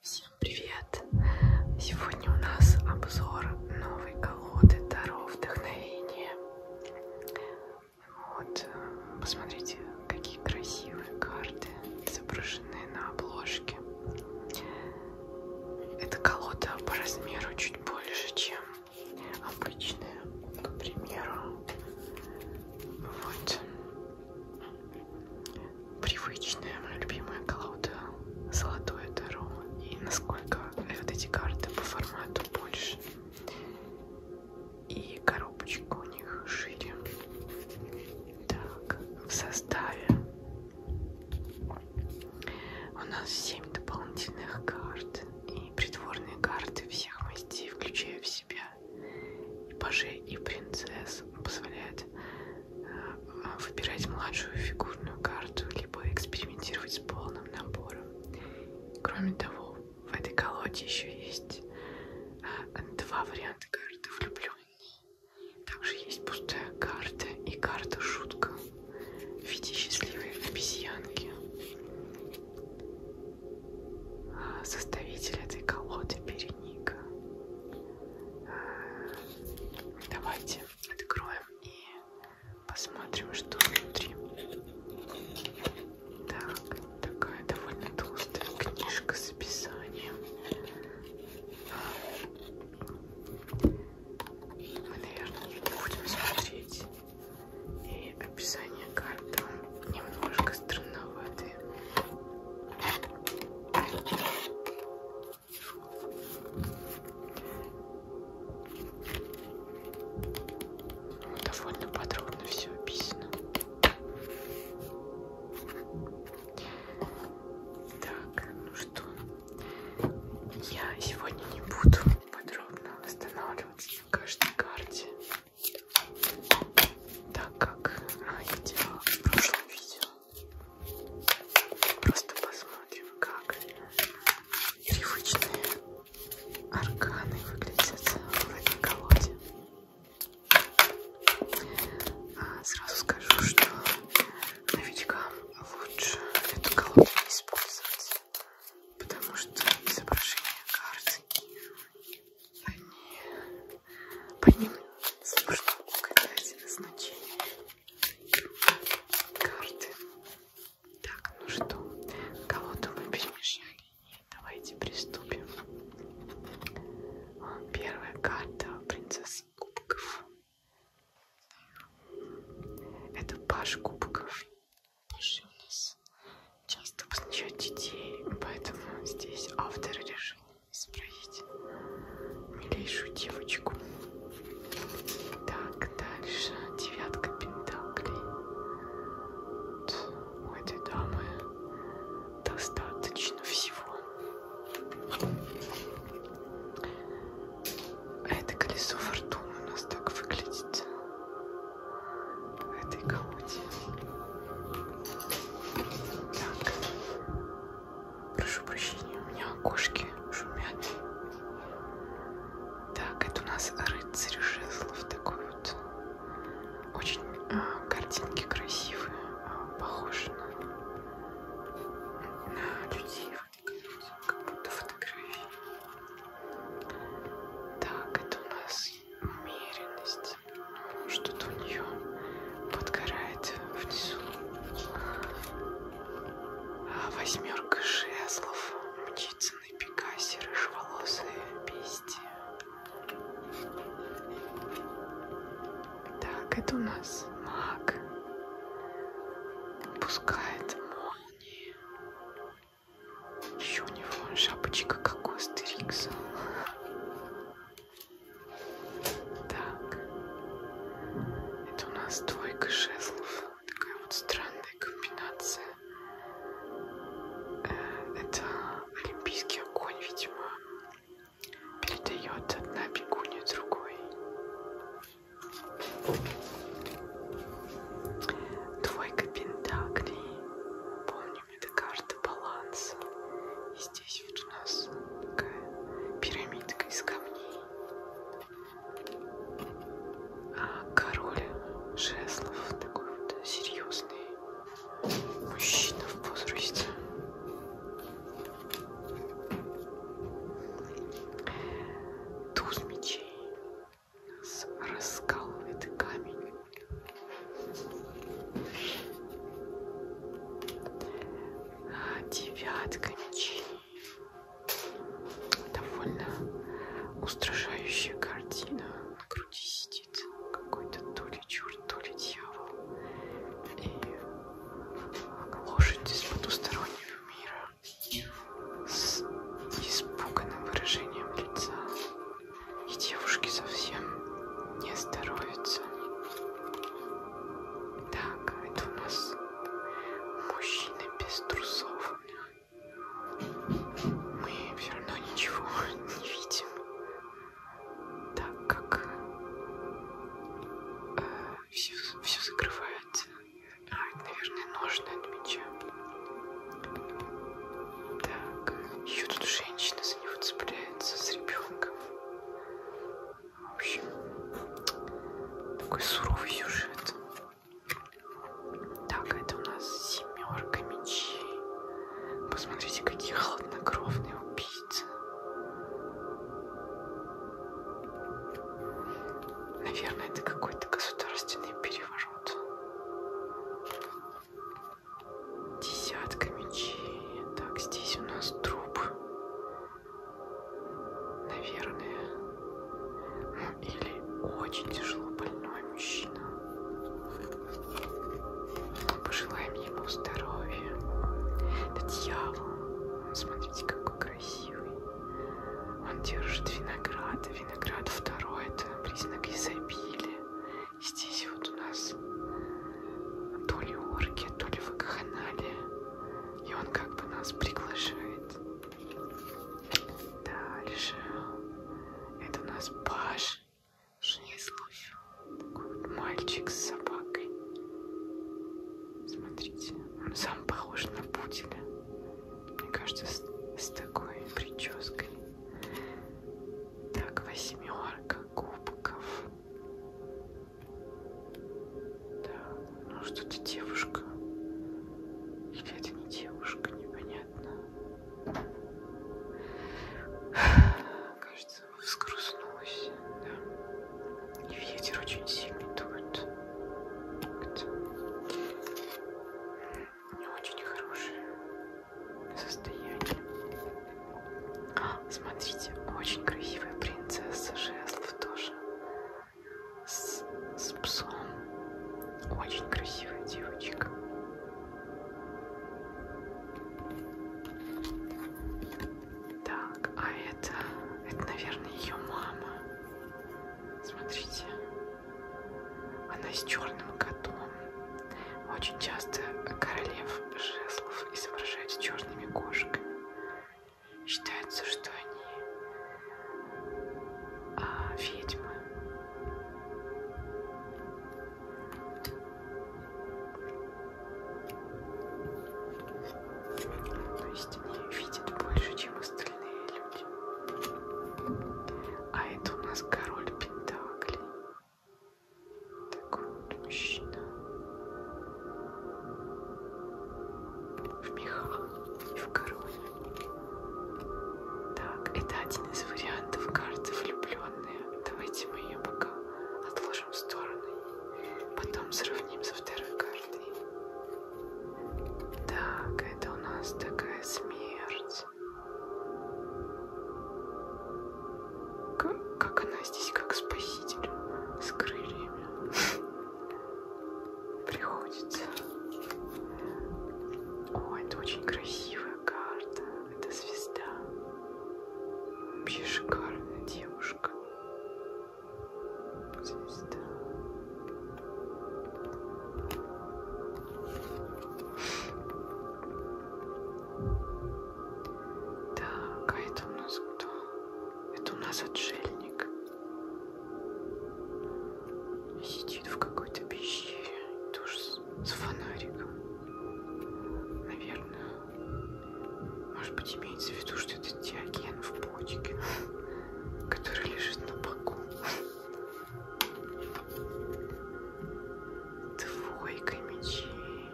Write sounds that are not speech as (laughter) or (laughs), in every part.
Всем привет! Сегодня у нас обзор новой колоды Таро Вдохновение. Вот, э, посмотрите, какие красивые карты изображены на обложке. Эта колода по размеру чуть больше, чем обычные, к примеру, вот привычные, моя любимая колода золотое таро и насколько вот эти карты по формату больше и коробочка у них шире. Так, в составе у нас 7 дополнительных карт и придворные карты всех мастей, включая в себя и пажей, и принцесс, позволяет э, выбирать младшую фигурную карту, либо экспериментировать с полным набором. Кроме того, в этой колоде еще есть э, два варианта карты влюбленные. Также есть пустая карта и карта шутка в виде счастливой обезьянки. А, составитель этой колоды Береника. А, давайте откроем и посмотрим, что внутри. Так, такая довольно толстая книжка с описанием. А, мы, наверное, не будем смотреть. И описание карты немножко странноватые. Довольно подробно все описано. Так, ну что, я сегодня не буду подробно останавливаться в каждой карте. Так как я делала в прошлом видео. Просто посмотрим, как привычные арканы выглядят в этой колоде. А сразу скажу, что новичкам лучше эту колоду не использовать потому что изображения карты, они, по ним сложно угадать значение карты. Так, ну что, кого-то мы перемешали. Давайте приступим. Первая карта принцесса кубков. Это паш кубков. Дальше у нас часто посещают детей, поэтому здесь автор решил исправить милейшую девочку. Так, дальше девятка пентаклей. У этой дамы достаточно всего. А это колесо фортуны у нас так выглядит этой колоде. Так. Прошу прощения, у меня окошки шумят. Так, это у нас рыцарь жезлов такой вот. Очень а, картинки красивые, а, похожи на, на людей, как будто фотографии. Так, это у нас умеренность. Что-то у нее подгорает внизу. А восьмерка жезлов. Мчится на Пикасе, рыжеволосые бести. Так, это у нас маг. Пускает молнии. Еще у него шапочка как у Астерикса. Так. Это у нас двойка жезлов. Такая вот странная комбинация. Э, это олимпийский огонь, видимо. Передает одна бегунья другой. Двойка пентаклей. Помним, это карта баланса. И здесь вот у нас такая пирамидка из камней. А король жезлов такой вот серьезный мужчина в возрасте. Туз мечей нас раскалывает камень. Девятка мечей. Довольно устрашающая картина. На груди сидит какой-то то ли черт, то ли дьявол. И лошадь из потустороннего мира с испуганным выражением лица, и девушке совсем не здоровится. Так, а это у нас мужчины без трусов. Мы все равно ничего (laughs) не видим, так как э, все, все закрывается. А, это, наверное, ножны от меча. Так, еще тут женщина за него цепляется с ребенком. В общем, такой суровый сюжет. Так, это у нас семерка мечей. Посмотрите, какие холоднокровные убийцы. Наверное, это какой-то государственный переворот может. Десятка мечей. Так, здесь у нас труп. Наверное. Ну, или очень тяжело больной мужчина. Пожелаем ему здоровья. Это дьявол. Смотрите, какой красивый. Он держит виноград виноград второй это признак изобилия. Здесь вот у нас то ли орки, то ли вакханалия. И он как бы нас приглашает. Дальше. Это у нас Паш Шнезлов. Такой вот мальчик с собакой. Смотрите, он сам похож на пуделя. Мне кажется, с, с такой прической. Так, восьмерка кубков. Да, ну что-то девушка. Или это не девушка, непонятно. Кажется, вскруснулась, да. И ветер очень сильный дует. Это не очень хорошее состояние. Смотрите, очень красивая принцесса жезлов тоже. С, с псом. Очень красивая девочка. Так, а это, это, наверное, ее мама. Смотрите, она с черным котом. Очень часто королев жезлов изображают с черными кошками. Считается, что они а, ведьмы. То есть они видят больше, чем остальные люди пять. А это у нас король Пентаклей. Такой вот мужчина. В мехах и в короне. Так, это один из вариантов карты влюбленные. Давайте мы ее пока отложим в сторону. Потом сравним со второй картой. Так, это у нас такая смерть. Как, как она здесь, как спаситель с крыльями, (laughs) приходится. О, это очень красивая карта. Это звезда. Вообще шикарная девушка. Звезда. Так, а это у нас кто? Это у нас отшельник. Сидит в какой-то пещере, тоже с фонариком. Наверное. Может быть, имеется в виду, что это диаген в почке, который лежит на боку. Двойка мечей.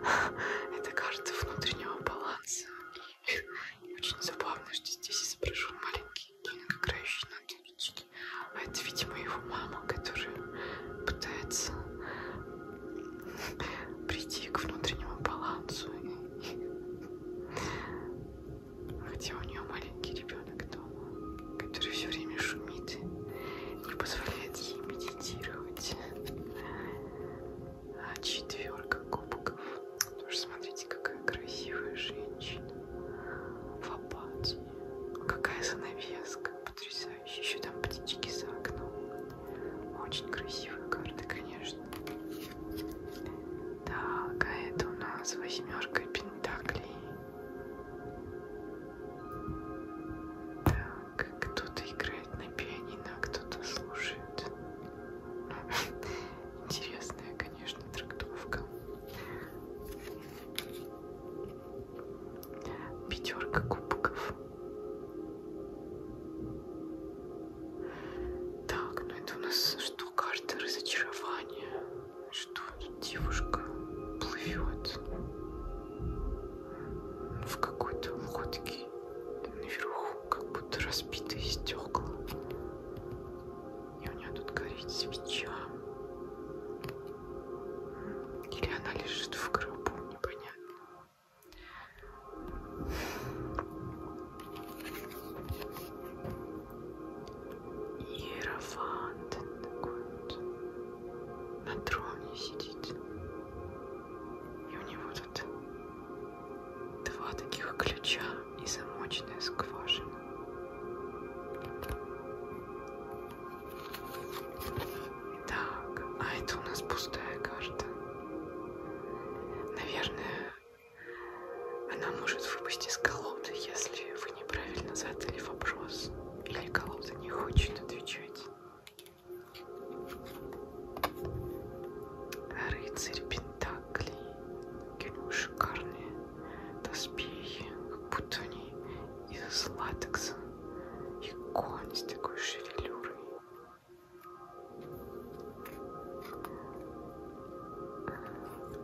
(laughs) Это карта внутреннего баланса. И очень забавно, что здесь изображен маленький ребенок, играющий на дудочке. А это, видимо, его мама, которая пытается (laughs) прийти к внутреннему балансу. (laughs) Хотя у нее маленький ребенок, но который все время шумит, не позволяет ей медитировать. А четверка кубков. Тоже смотрите, какая красивая женщина в апатии. Какая занавеска, потрясающая. Еще там птички за окном. Очень красивые карты, конечно. Так, а это у нас восьмерка пентаклей. Так, кто-то играет на пианино, а кто-то слушает. Интересная, конечно, трактовка. Пятерка кубков. Так, ну это у нас что, карта разочарования? что девушка плывет ну, в какой-то лодке. Наверху как будто разбитые стекла. И у нее тут горит свеча. Или она лежит в гробу, непонятно. Иерофант такой вот на троне сидит. И у него тут два таких ключа и замочная скважина. Так, а это у нас пустая карта. Наверное, она может выпасть из колоды, если вы неправильно задали вопрос. Ликолов-то не хочет отвечать. Рыцарь Пентакли. Какие шикарные доспехи. Как будто они из латекса. И конь с такой шевелюрой.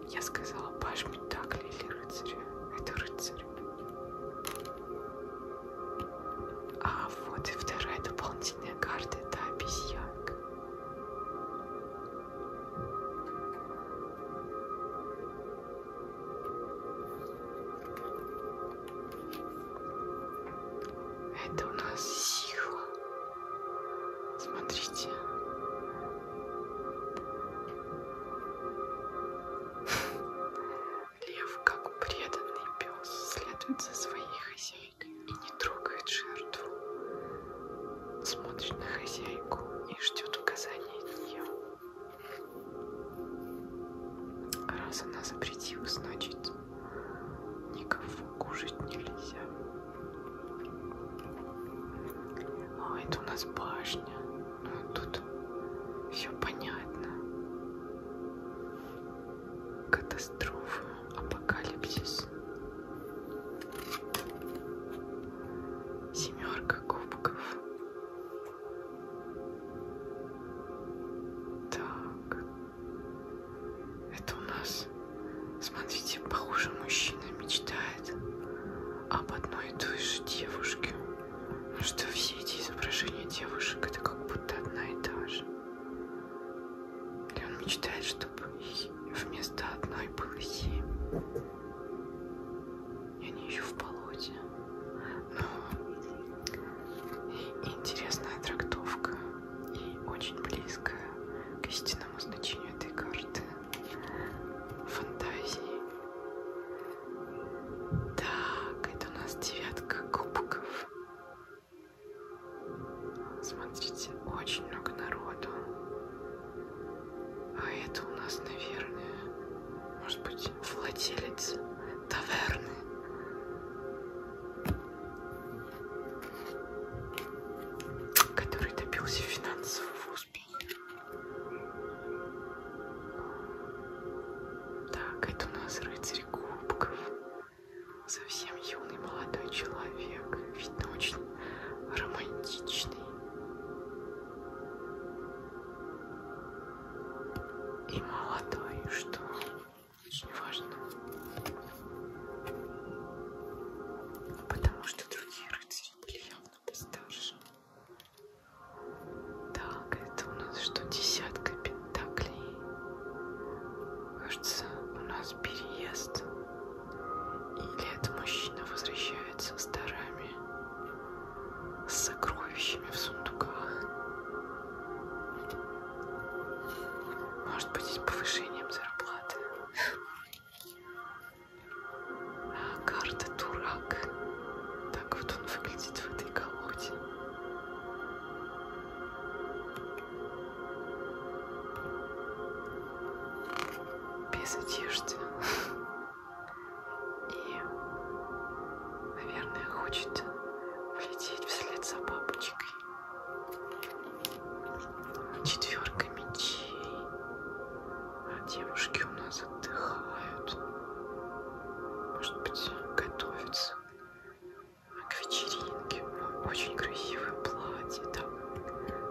Я сказала паш Пентакли или рыцаря. Это рыцарь череп. А вот и вторая дополнительная карта это обезьянка. Это у нас сила. Смотрите, Лев, как преданный пес, следует за своей хозяйкой и не трогает жертву. Смотрит на хозяйку и ждет указания от нее. Раз она запретила, значит, никого кушать нельзя. А, это у нас башня. Ну, а тут все понятно. Катастрофа, апокалипсис. Семерка кубков. Так. Это у нас, смотрите, похоже, мужчина мечтает об одной и той же девушке что все эти изображения девушек это как будто одна и та же. Или он мечтает, чтобы вместо одной было семь. И они еще в болоте. Но и интересная трактовка и очень близкая к истинному значению этой карты. Фантазии. Так, это у нас девятка кубков. Смотрите, очень много народу. А это у нас, наверное, может быть, владелец таверны. Который добился финансового успею. Так, это у нас рыцарь кубков. Совсем юный молодой человек. Видно, очень романтичный. И молодой, что очень важно. Потому что другие рыцари были явно постарше. Так, это у нас что, десятка пентаклей? Кажется, у нас переезд. Или этот мужчина возвращается с дарами, с сокровищами в сундуках. Может быть, с повышением зарплаты карта дурак. Так вот он выглядит в этой колоде. Без одежды. И, наверное, хочет влететь вслед за бабочкой. Четверка мечей. А девушки у нас отдыхают. Может быть, готовятся к вечеринке. Очень красивое платье, там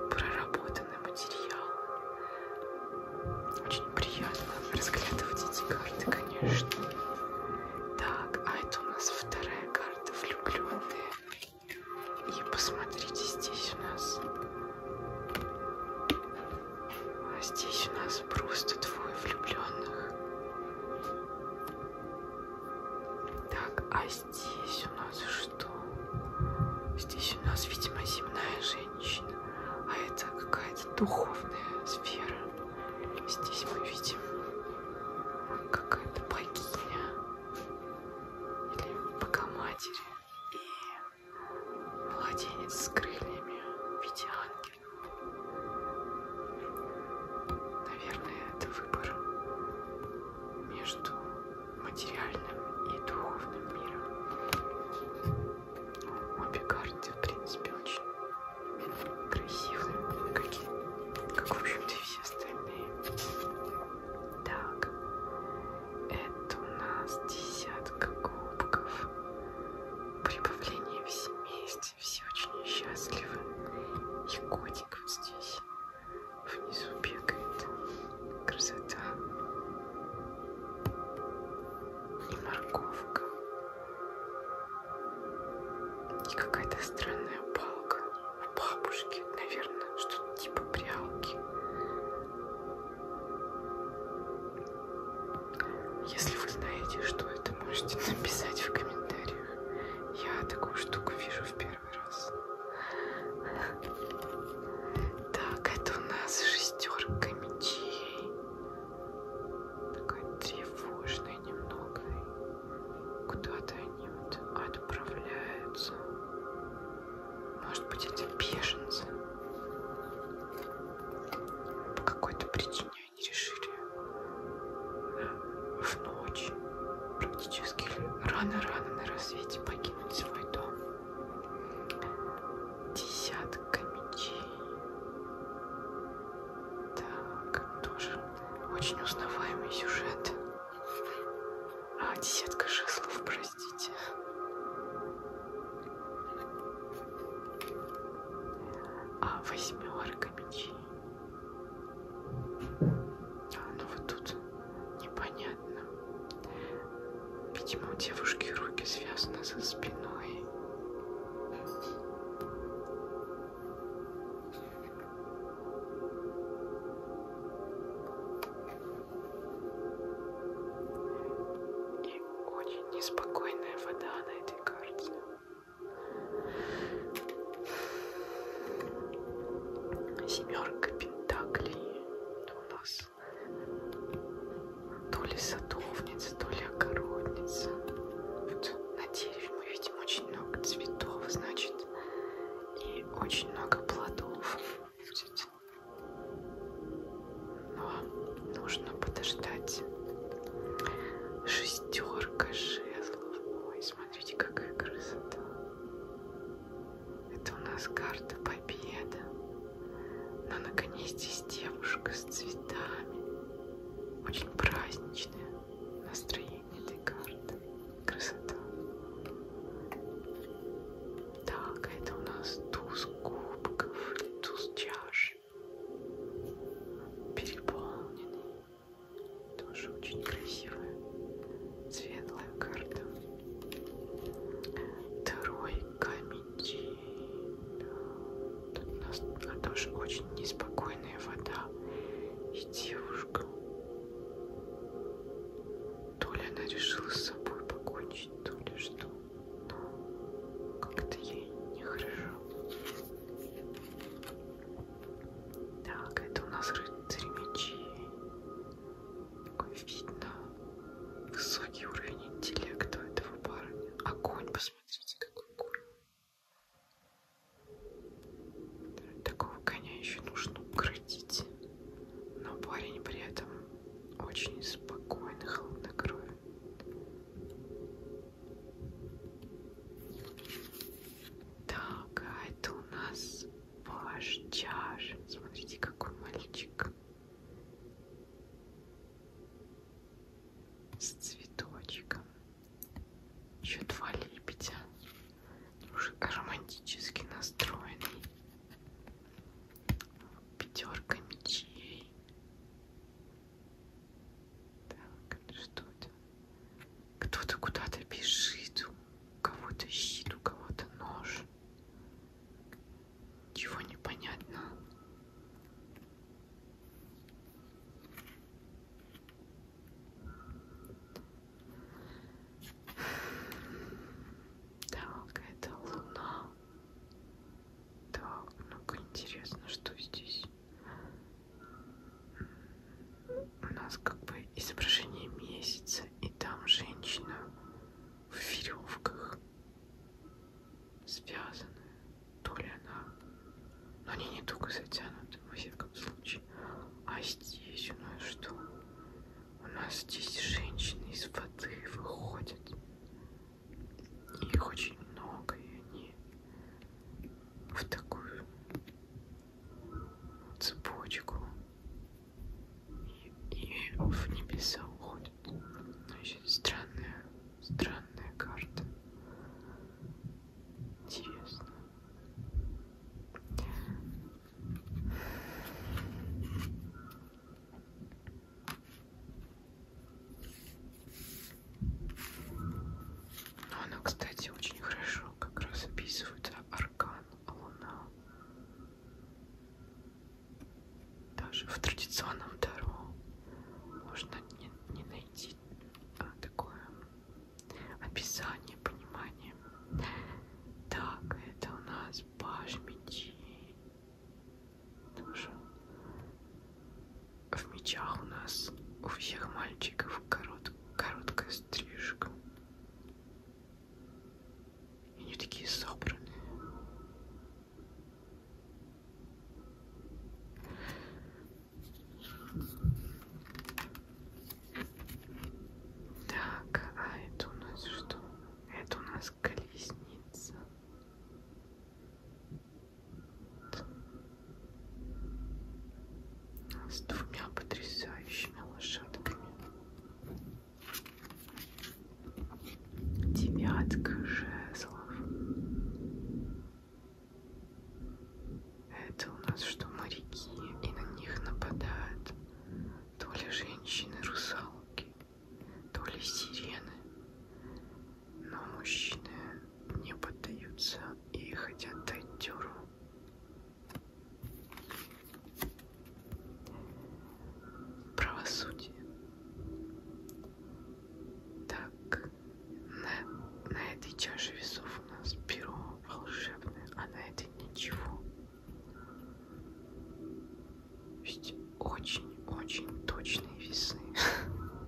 проработанный материал. Очень приятно разглядывать эти карты, конечно. Так, а это у нас вторая карта влюбленные. И посмотрите, здесь у нас а здесь у нас просто двое влюбленных. Так, а здесь у нас что? Здесь у нас, видимо, земная женщина. А это какая-то духовная сфера. Здесь мы видим какая-то богиня или богоматерь. И Младенец с крыльями в виде ангела. Наверное, это выбор между материальным и духовным миром. Обе карты, в принципе, очень красивые, как, и, как в общем-то, все остальные. Так, это у нас десятка кубков прибавление в семействе, все очень счастливы. И котик вот здесь внизу бегает. Красота. И морковка. И какая-то странная палка у бабушки, наверное, что-то типа прялки. Если вы знаете, что это, можете (laughs) написать в комментариях. Я такую штуку вижу в первый раз. Так, это у нас шестерка мечей. Такая тревожная немного. Куда-то они вот отправляются. Может быть, это беженцы. По какой-то причине они решили в ночь, практически рано-рано на рассвете покинуть свой дом. Десятка мечей. Так, тоже очень узнаваемый сюжет. А, десятка шеслов, простите. А восьмерка мечей. А, ну вот тут непонятно. Видимо, у девушки руки связаны за спиной. И очень неспокойная вода на этой карте. Семерка пентаклей у нас то ли садовница, то ли огородница. Вот на дереве мы видим очень много цветов, значит, и очень много плодов. Но нужно подождать. Шестерка жезлов. Ой, смотрите, какая красота. Это у нас карта победы. Но ну, наконец здесь девушка с цветами. Очень праздничное настроение этой карты. Красота. Так, это у нас туз кубков, туз чаш переполненный, тоже очень красивая, светлая карта. Второй камень. Тут у нас тоже очень неспокойная вода и девушка. То ли она решила с собой покончить, то ли что но как-то ей нехорошо. Так, это у нас рыцари мечей. Как видно, высокий уровень интеллекта у этого парня. Огонь, посмотрите, какой огонь. Такого коня еще нужно укротить. Но парень при этом очень спокойный, холоднокровен. Так, а это у нас ваш чаш. Смотрите, какой мальчик. С цветочком. Еще два лебедя. Уже романтически настроенный. Пятерка мечей. Так, что-то. Кто-то куда-то бежит. У кого-то щит, у кого-то нож. Чего непонятно. Так, это луна. Так, ну-ка интересно, что здесь у нас как бы изображение месяца, и там женщина в веревках связанная. То ли она... Но ну, они не только затянуты, во всяком случае. А здесь у нас что? У нас здесь женщины из воды выходят. И их очень много, и они в такую цепочку и, и в небеса уходят. Но еще странная, странная карта. Интересно. Но она, кстати, очень хорошо как раз описывает аркан Луна. Даже в традиционном Таро можно не, не найти а, такое описание, понимание. Так, это у нас баш мечей. Потому что в мечах у нас у всех мальчиков корот, короткая стрижка. И они такие собранные. Так, а это у нас что? Это у нас колесница с двумя потрясающими лошадками. Девятка жезлов. Это у нас что, моряки, и на них нападают то ли женщины-русалки, то ли сирены, но мужчины не поддаются и хотят дать дёру. Правосудие. Так, на, на этой чаше весов у нас перо волшебное, а на этой ничего. Ведь очень-очень точные весы. (laughs)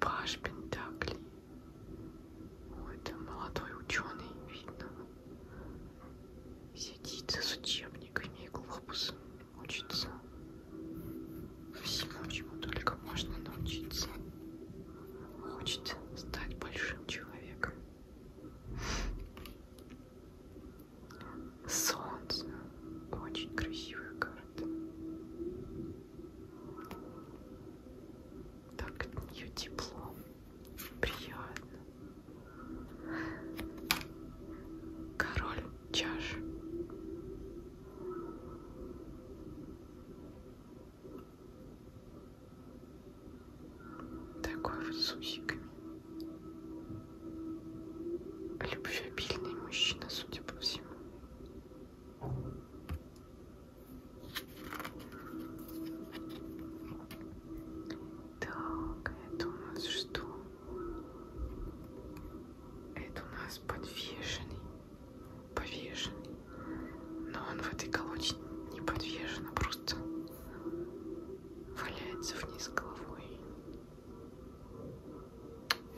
Паш Пентакли. Ой, это молодой ученый, видно. Сидит с учебниками и глобусом, учится. Всему, чему только можно научиться. Хочет стать большим человеком. Солнце. Очень красивая карта. Так от нее тепло. Приятно. Король чаш. Такой вот с усиками. Любвеобильный мужчина, судя по всему. Так, это у нас что? Это у нас подвешенный. Повешенный. Но он в этой колодке не подвешен, а просто валяется вниз головой.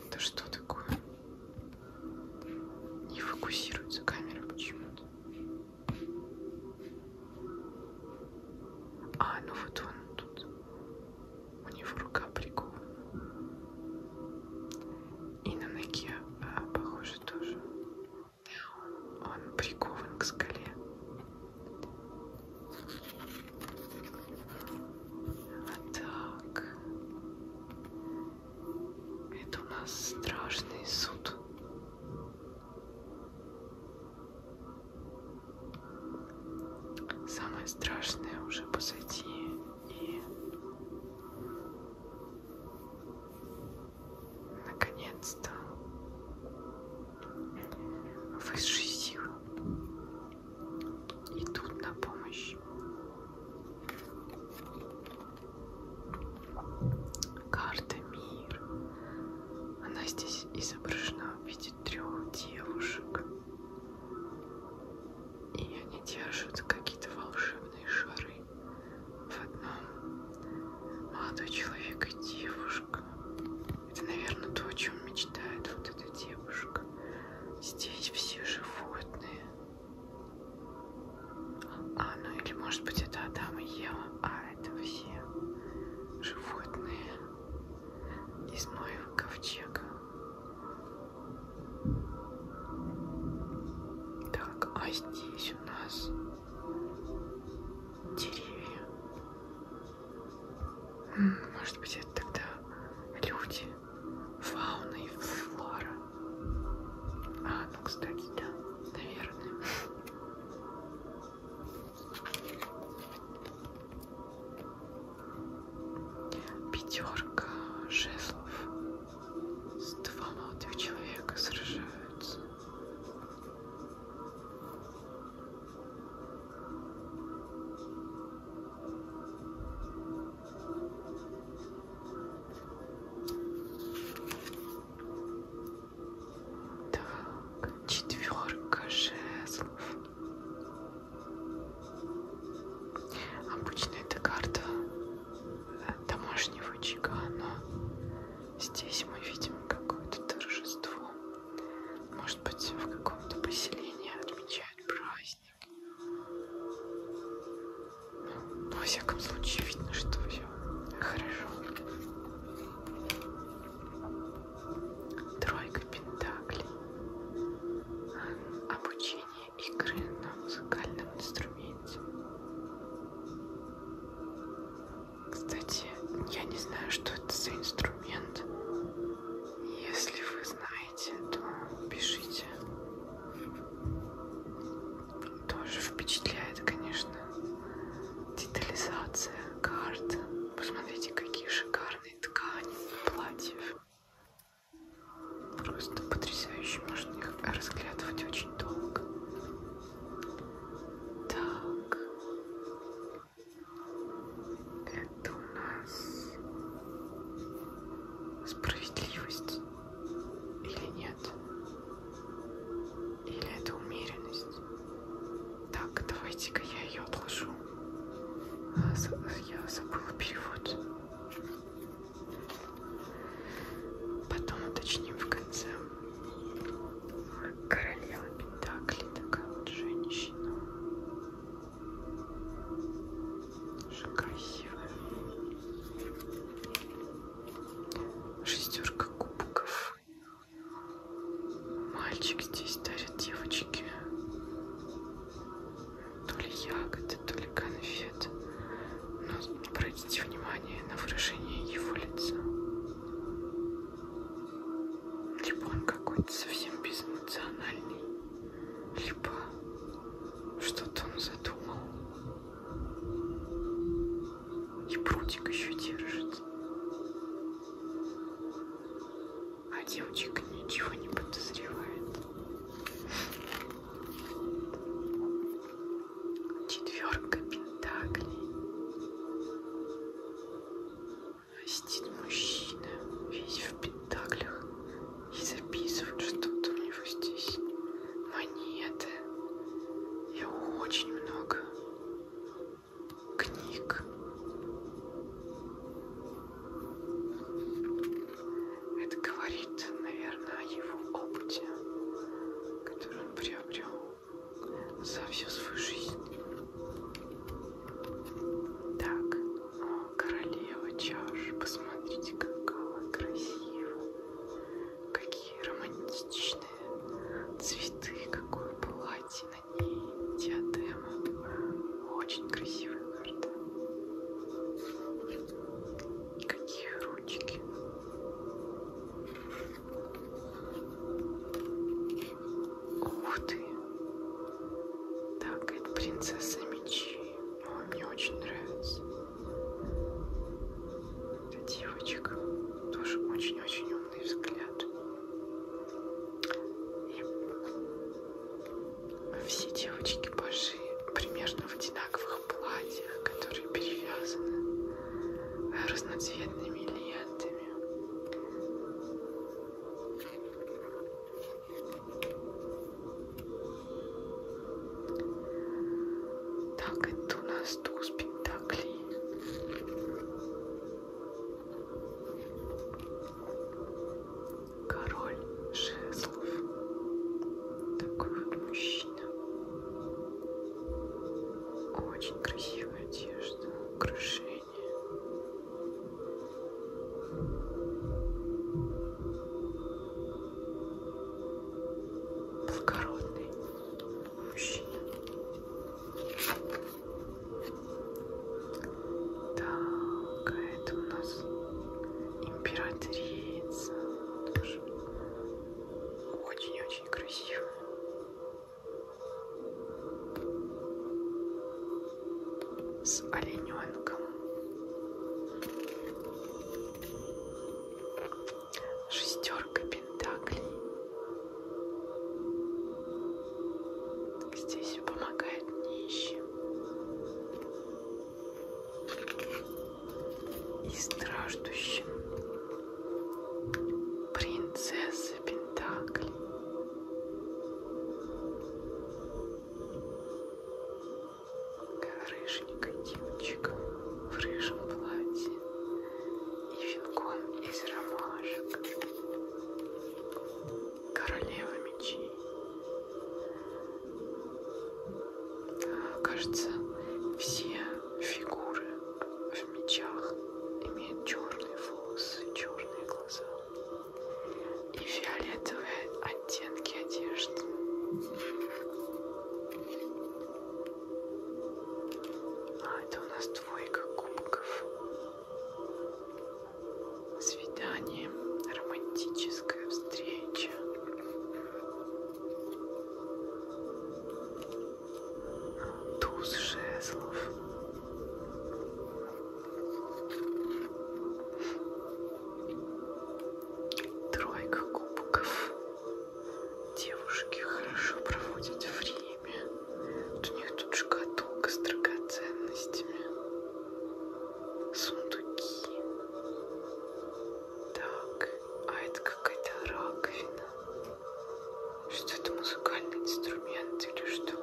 Это что такое? Не фокусируется камера почему-то. А, ну вот он тут. У него рука прикована. И на ноге, а, похоже, тоже. Он прикован к скале. Вот так. Это у нас страшный суд. Самое страшное уже позади и наконец-то высшие силы идут на помощь. Карта мир. Она здесь изображена в виде трех девушек. И они держат какие-то волшебные шары. В одном молодой человек и девушка. Это, наверное, то, о чем мечтает вот эта девушка. Здесь все животные. А, ну или может быть это Адам и Ева, а это все животные из моего ковчега. Так, а здесь у нас деревья. Может быть, это тогда люди, фауна и флора. А, ну, кстати, да, наверное. Пятерка жезлов. Два молодых человека сражаются. Так, четверка жезлов. Обычно эта карта э, домашнего очага, но здесь мы видим какое-то торжество. Может быть, в каком-то поселении отмечают праздник. Ну, во всяком случае, видно, что все хорошо. Тройка пентаклей. Обучение игры на музыкальном инструменте. Кстати, я не знаю, что это за инструмент. Если вы знаете, то пишите. Тоже впечатляет, конечно, детализация карт. Посмотрите, какие шикарные ткани платьев. Просто потрясающе, можно их разглядывать очень долго. Так, это у нас справедливость или нет? Или это умеренность? Так, давайте-ка я ее отложу. А, я забыла перевод. Потом уточним в конце. Королева Пентакли такая вот женщина. Очень красивая. Шестерка кубков. Мальчик здесь дарит девочке то ли ягоды, то ли конфеты. Но обратите внимание на выражение его лица. Либо он какой-то совсем безэмоциональный, либо что-то он задумал. И прутик еще держит. А девочка ничего не подозревает. Четверка пентаклей. Сидит мужчина, весь в пентаклях, и записывает что-то у него здесь. Монеты. И очень много книг. Это говорит, наверное, о его опыте, который он приобрел за всю свою жизнь. Так, о, королева чаш. Посмотрите, какая красиво. Какие романтичные цветы, какое платье на ней, диадема. Очень красивая карта. И какие ручки. Ух ты! Так, это принцесса мечи. О, мне очень нравится. Это девочка. Тоже очень-очень умный взгляд. И все девочки божи примерно в одинаковых платьях, которые перевязаны разноцветными лентами. Так, это у нас туз пентаклей. Король жезлов. Такой вот мужчина. Очень красивая одежда, украшения благородный мужчина. Так, а это у нас императрица. Очень-очень красиво с олененком. Шестерка пентаклей. Здесь помогает нищим. И страждущим. Принцесса пентаклей рыженькой девочка в рыжем платье и венком из ромашек. Королева мечей. Кажется, все фигуры в мечах имеют черные волосы, черные глаза и фиолетовые оттенки одежды. А это у нас двойка кубков. Свидание, романтическая встреча. Туз жезлов. Тройка кубков. Девушки хорошо проводят время. Вот у них тут шкатулка с драгоценностями. Сундуки. Так, а это какая-то раковина. Что это музыкальный инструмент или что?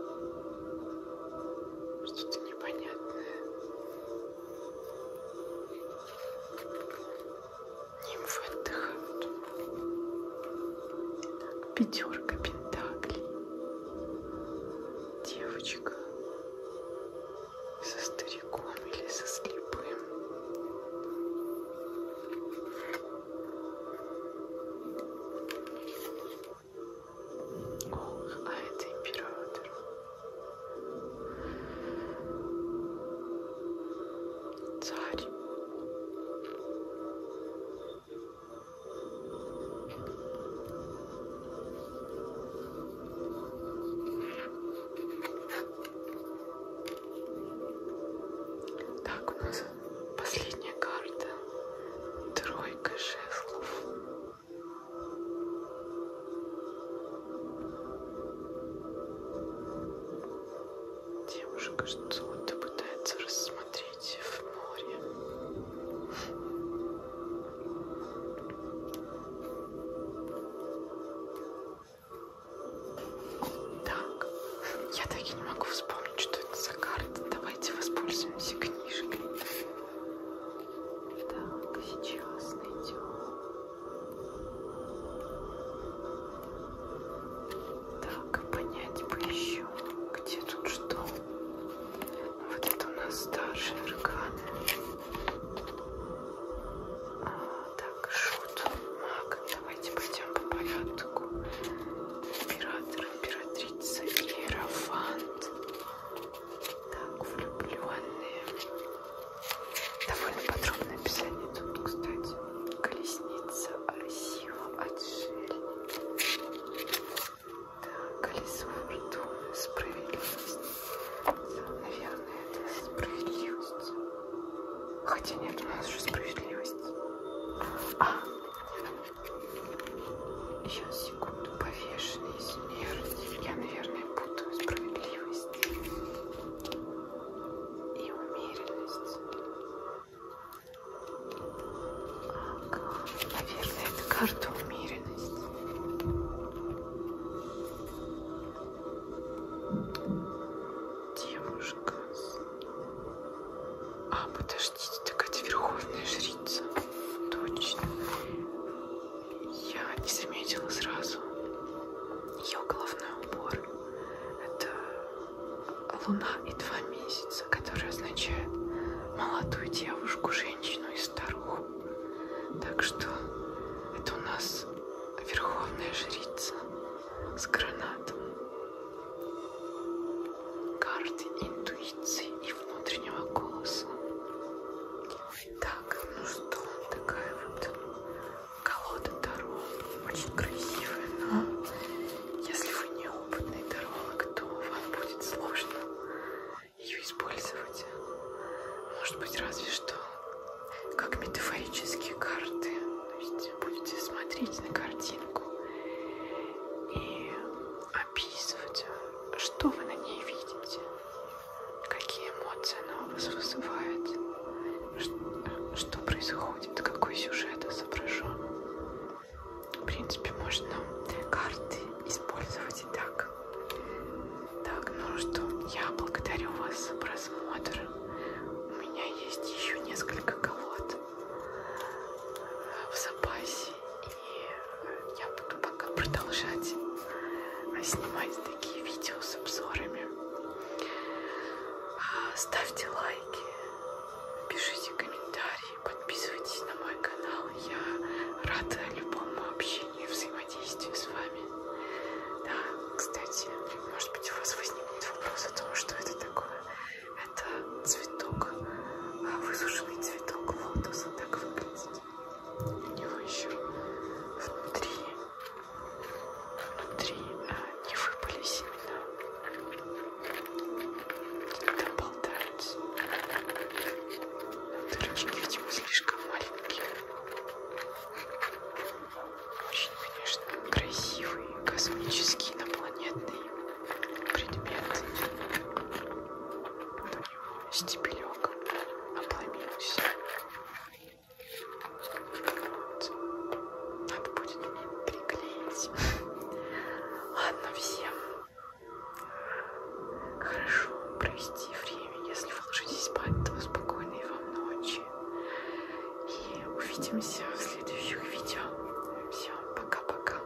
Что-то непонятное. Нимфы отдыхают. Так, пятерка пентаклей. Девочка со стариком или со слепым. Ох, а это император. Царь. Так, у нас последняя карта. Трой тройка жезлов. Девушка что-то пытается рассмотреть в море. Так, я так и не могу вспомнить, что это за карта. Давайте воспользуемся книжкой. Так, сейчас найдем. Так, понять бы еще, где тут что. Вот это у нас старший аркан. А, так, шут, маг. Давайте пойдем по порядку. Император, императрица, иерофант вот так влюбленные довольно подробное описание тут кстати колесница красиво отшельник так колесо фортуны справедливость наверное это справедливость хотя нет у нас же справедливость а Сейчас, секунду, повешенный смерть. Я, наверное, путаю справедливость и умеренность. Ага. Наверное, это карта умеренности. Девушка с а, подождите, так это верховная жрица. Точно. Я не заметила сразу. Ее головной убор. Это луна и два месяца, которые означают молодую девушку, женщину и старуху. Так что это у нас верховная жрица с гранатом карте интуиции и внутреннего голоса. Так, ну что, такая вот колода Таро, очень красивая, но если вы неопытный таролог, то вам будет сложно ее использовать. Может быть, разве что как метафорические карты. То есть будете смотреть на картинку и описывать, а что вы на ней видите, какие эмоции она у вас вызывает, что происходит, какой сюжет изображен. В принципе, можно карты использовать и так. Так, ну что, я благодарю вас за просмотр. У меня есть еще несколько колод в запасе. И э, я буду пока продолжать э, снимать такие видео с обзорами. А, ставьте лайки, пишите комментарии, подписывайтесь на мой канал. Я рада любому общению и взаимодействию с вами. Да, кстати, может быть у вас возникнет вопрос о том, что это такое. Это цветок а высушенный цветок лотоса так выглядит. У него еще внутри, внутри а, не выпали семена. Там болтаются. Дырочки, видимо, слишком маленькие. Очень, конечно, красивый космический инопланетный предмет. Но стебелек обломился. Вот. Надо будет приклеить. Ладно, всем хорошо провести время. Если вы ложитесь спать, то спокойной вам ночи. И увидимся в следующих видео. Все, пока-пока.